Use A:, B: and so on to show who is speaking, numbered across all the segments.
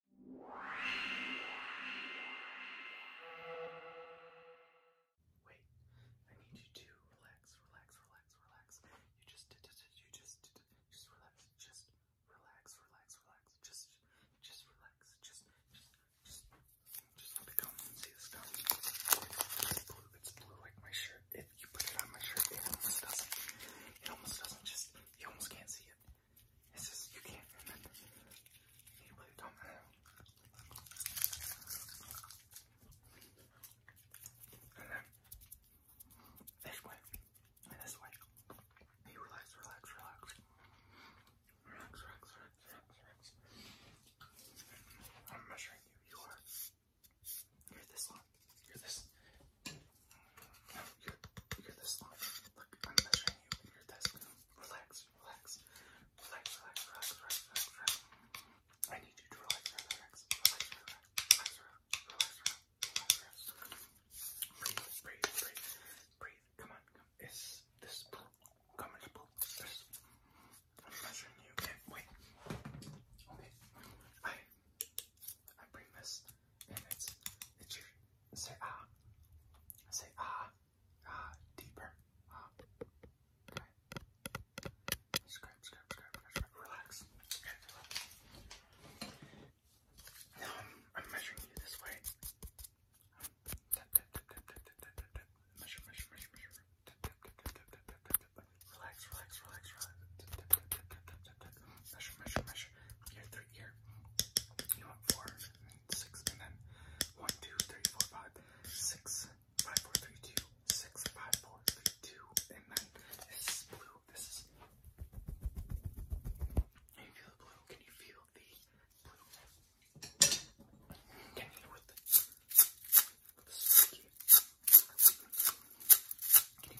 A: Wait, I need you to relax, relax, relax, relax. You just, just, just relax, just relax, relax, relax. Just, just relax. Just, just, just, just let it come. See this gum? blue. It's blue like my shirt. If you put it on my shirt, it almost doesn't. It almost doesn't. Just, you almost can't see it. It's just you can't remember. Can you believe Tom I And then this way. And this way. You relax, relax. Relax, relax, relax, relax, relax. I'm measuring you. You are. You're this long. You're this. I'm measuring you and you Relax, relax, relax, relax, relax, relax, I need you to relax, relax, relax, relax, relax, relax, relax, relax, Breathe, breathe, breathe, breathe. Come on, come. Is this blue? This. I'm measuring you. Okay, wait. Okay. I I bring this and it's it's your say ah, say ah, ah deeper, ah. Okay. Scrap, scrap, scrap, scrap, Relax. Okay, Now I'm, I'm measuring you this way. Measure, measure, measure, measure. Relax, relax, relax, relax. Measure, measure, measure. You're your You want four, six, and then one, two, three, four, five, six, five, four, three, two, six, five, four, three, two, and then this is blue. This is. Can you feel the blue? Can you feel the blue? Can you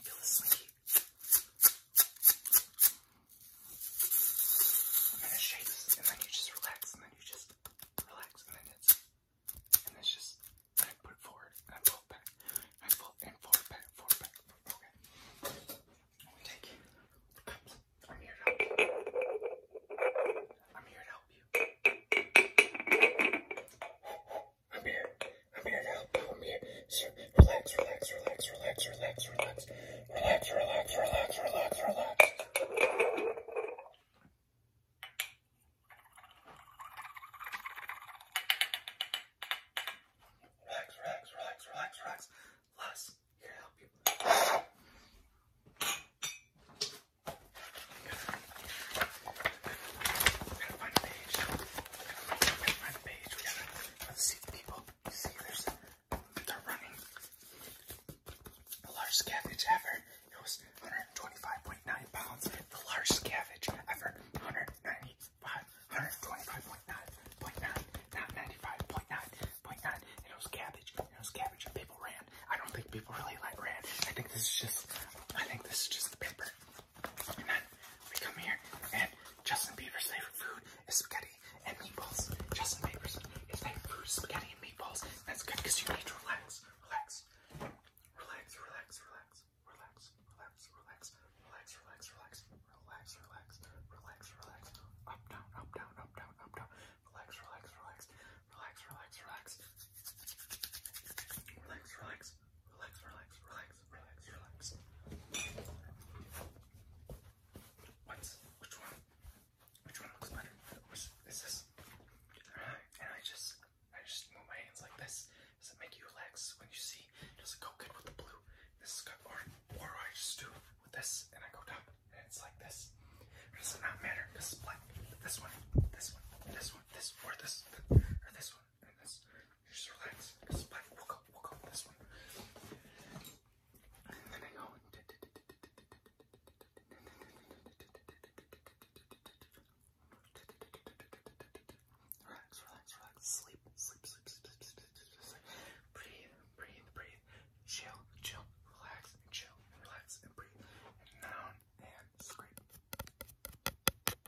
A: feel the slinky? And then it shakes, and then you just relax, and then you just relax, and then it's, and it's just, and I put it forward, and I pull it back, and I pull it and forward, back, forward, back. Okay. And we take it. I'm here to help you. I'm here to help you. I'm here. I'm here to help you. I'm here. So relax, relax, relax, relax, relax, relax, relax, relax, relax, relax, relax. Relax, relax, relax, relax, relax. Les, here to help you. I'm gonna find a page let's see the people. see, there's they're running. The large scavenge ever. It was 125.9 pounds. The large scavenge ever. 195, 125.9.9, not 95.9.9. And it was cabbage. it was cabbage. people ran. I don't think people really like ran. I think this is just. I think this is just the paper. And then we come here, and Justin Bieber's favorite food is spaghetti and meatballs. Justin Bieber's his favorite food is spaghetti and meatballs. That's good because you need to relax, relax, relax, relax, relax, relax, relax, relax, relax, relax, relax, relax, relax, relax, relax, up, down, up, down, up, down, up, down, relax, relax, relax, relax, relax, relax, relax, relax relax, relax, relax, relax, relax. which one? Which one looks better? is this? and I just I just move my hands like this. Does it make you relax when you see? Does it go good with the blue? This is good or or I just do with this and I go down and it's like this. does it not matter? Because it's black. This one, this one, this one, this or this or this one. You just relax. This body woke up, this one. Relax, relax, relax. Sleep, sleep, sleep, Breathe, breathe, breathe. Chill, chill, relax, chill, relax, and breathe. And and scrape.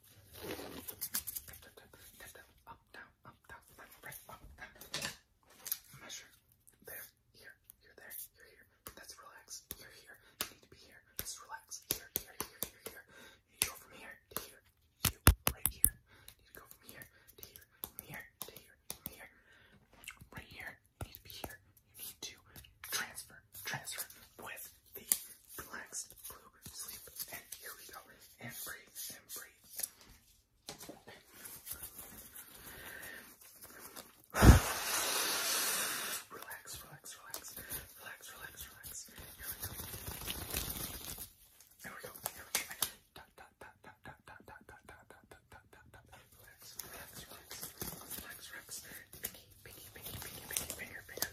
A: Tap, tap, tap, tap, tap, up, down, up, down, left, right, up, down. Measure. There, here, here, there, here, here. That's relax. Here, here. You need to be here. Let's relax. Here, here, here, here, here. You need to go from here to here. You, right here. You need to go from here to here. From here to here. From here. Right here. You need to be here. You need to transfer, transfer with the relax, sleep, and here we go. And breathe, and breathe. relax, relax, relax, relax, relax, relax. Here we go. Here we go. Dot, dot, dot, dot, dot, dot, dot, dot, dot, dot, dot, dot, dot. Relax, relax, relax, relax, relax. Pinky, pinky, pinky, pinky, pinky, finger, finger,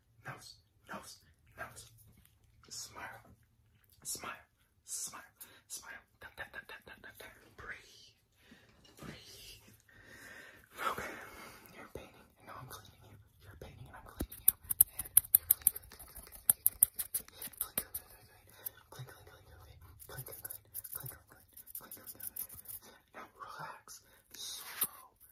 A: nose, nose, nose. Smile, smile, smile, smile. Breathe, breathe. Okay, you're painting, and now I'm cleaning you. You're painting, and I'm cleaning you. And you're cleaning, clean, clean, clean, clean, clean, clean, clean, clean, clean, clean, clean, clean, clean, clean, clean, clean, clean,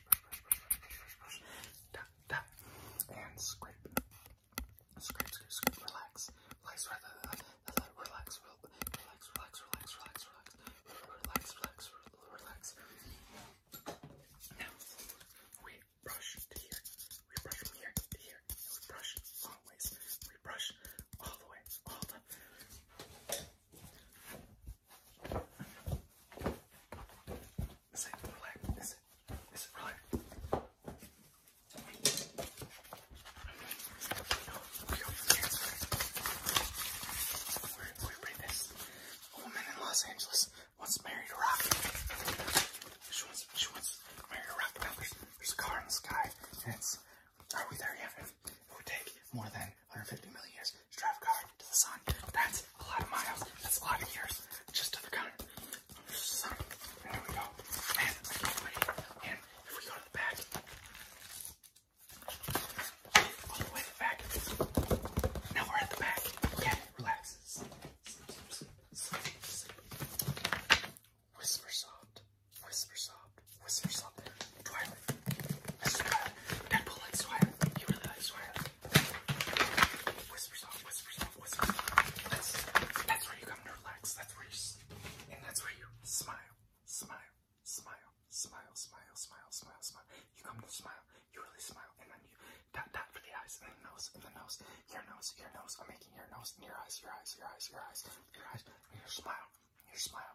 A: brush, brush, brush, brush, brush, brush, brush, brush, tap, tap, and scrape, scrape, scrape, scrape, relax, relax, relax, relax, relax, relax, relax, relax, relax, relax, relax, relax, relax. Now we brush to here, we brush from here to here, and we brush long ways, we brush all the way, all the. Is it relaxed? Is it? Is we're, we're reading this. A woman in Los Angeles wants married a rock. She wants, she wants married a rock. there's, a car in the sky, and it's, are we there yet? It would take more than 150 million years to drive car to the sun. That's a lot of miles. That's a lot of years just to the car. there we go. And if we go to the back, all the way to the back. Now we're at the back. Okay, relax. Whisper soft. Whisper soft. Whisper soft. Do I swear. Deadpool likes swear. He really likes swear. Whisper soft, whisper soft, whisper soft. That's, that's where you come to relax. That's where you, and that's where you smile, smile, smile, smile, smile, smile, smile, smile. You come to smile. You really smile, and then you dot dot for the eyes, and the nose, and the nose, your nose, your nose. I'm making your nose, and your eyes, your eyes, your eyes, your eyes, your eyes, and your smile, your smile,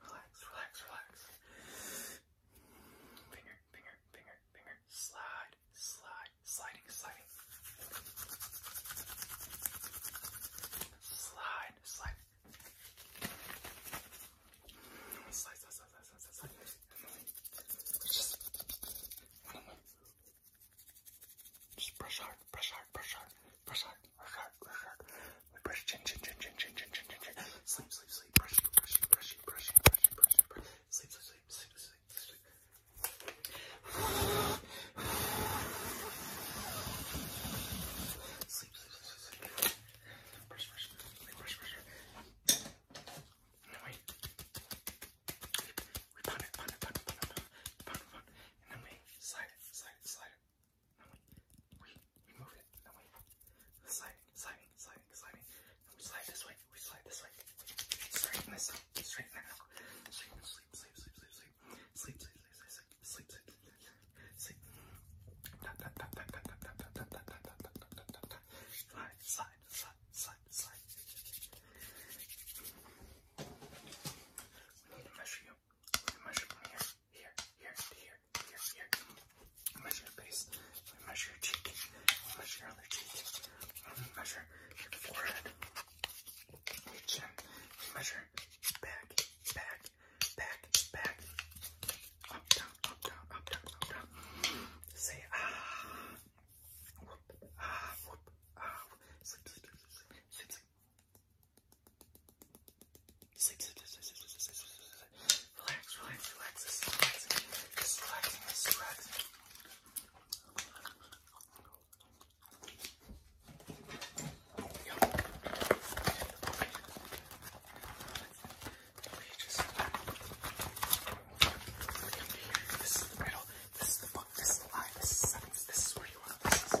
A: Relax, relax, relax. Finger, finger, finger, finger. Slide, slide, sliding, sliding. Slide, slide. Slide, slide, slide, slide, slide, slide. Just, just brush hard hard, press hard, press hard, press hard, press hard, press hard. We press chin, chin, chin, chin, chin, chin, chin, chin, chin. Sleep, sleep, sleep, press, press, press, press, press, press, press. Sleep, sleep, sleep, sleep, sleep, sleep. Sleep, sleep, sleep, sleep, sleep. Press, press, press, press, press. No, wait. We pound it, pound it, pound it, pound it, pound it, pound it, pound it, and then we slide it, slide it, slide it. And we, we, we move it. And we sliding, sliding, sliding, sliding. And we slide this way. We slide this way. Straighten this up. Straighten that out. Straighten, sleep, sleep, sleep, sleep, sleep. Sleep, sleep, sleep, sleep, sleep, sleep, sleep, sleep. Tap, tap, tap, tap, tap, tap, tap, tap, tap, tap, tap, tap, tap, tap, tap, tap. Slide, slide, slide, slide, slide. We need to measure your measure here, here, here, here, here, here. measure your face. measure your cheek. measure your other cheek. measure your forehead, your chin. measure back, back, back, back. Up, down, up, down, up, down, up, down. Say ah. Whoop, ah, whoop, ah, whoop. Sleep, Sleep, sleep, sleep, sleep, sleep, sleep, sleep. Relax, relax, relax. This is relaxing. This is relaxing. This is relaxing. Yo. Okay, just come here. This is the middle. This is the book. This is the line. This is the sentence. This is where you want to. This is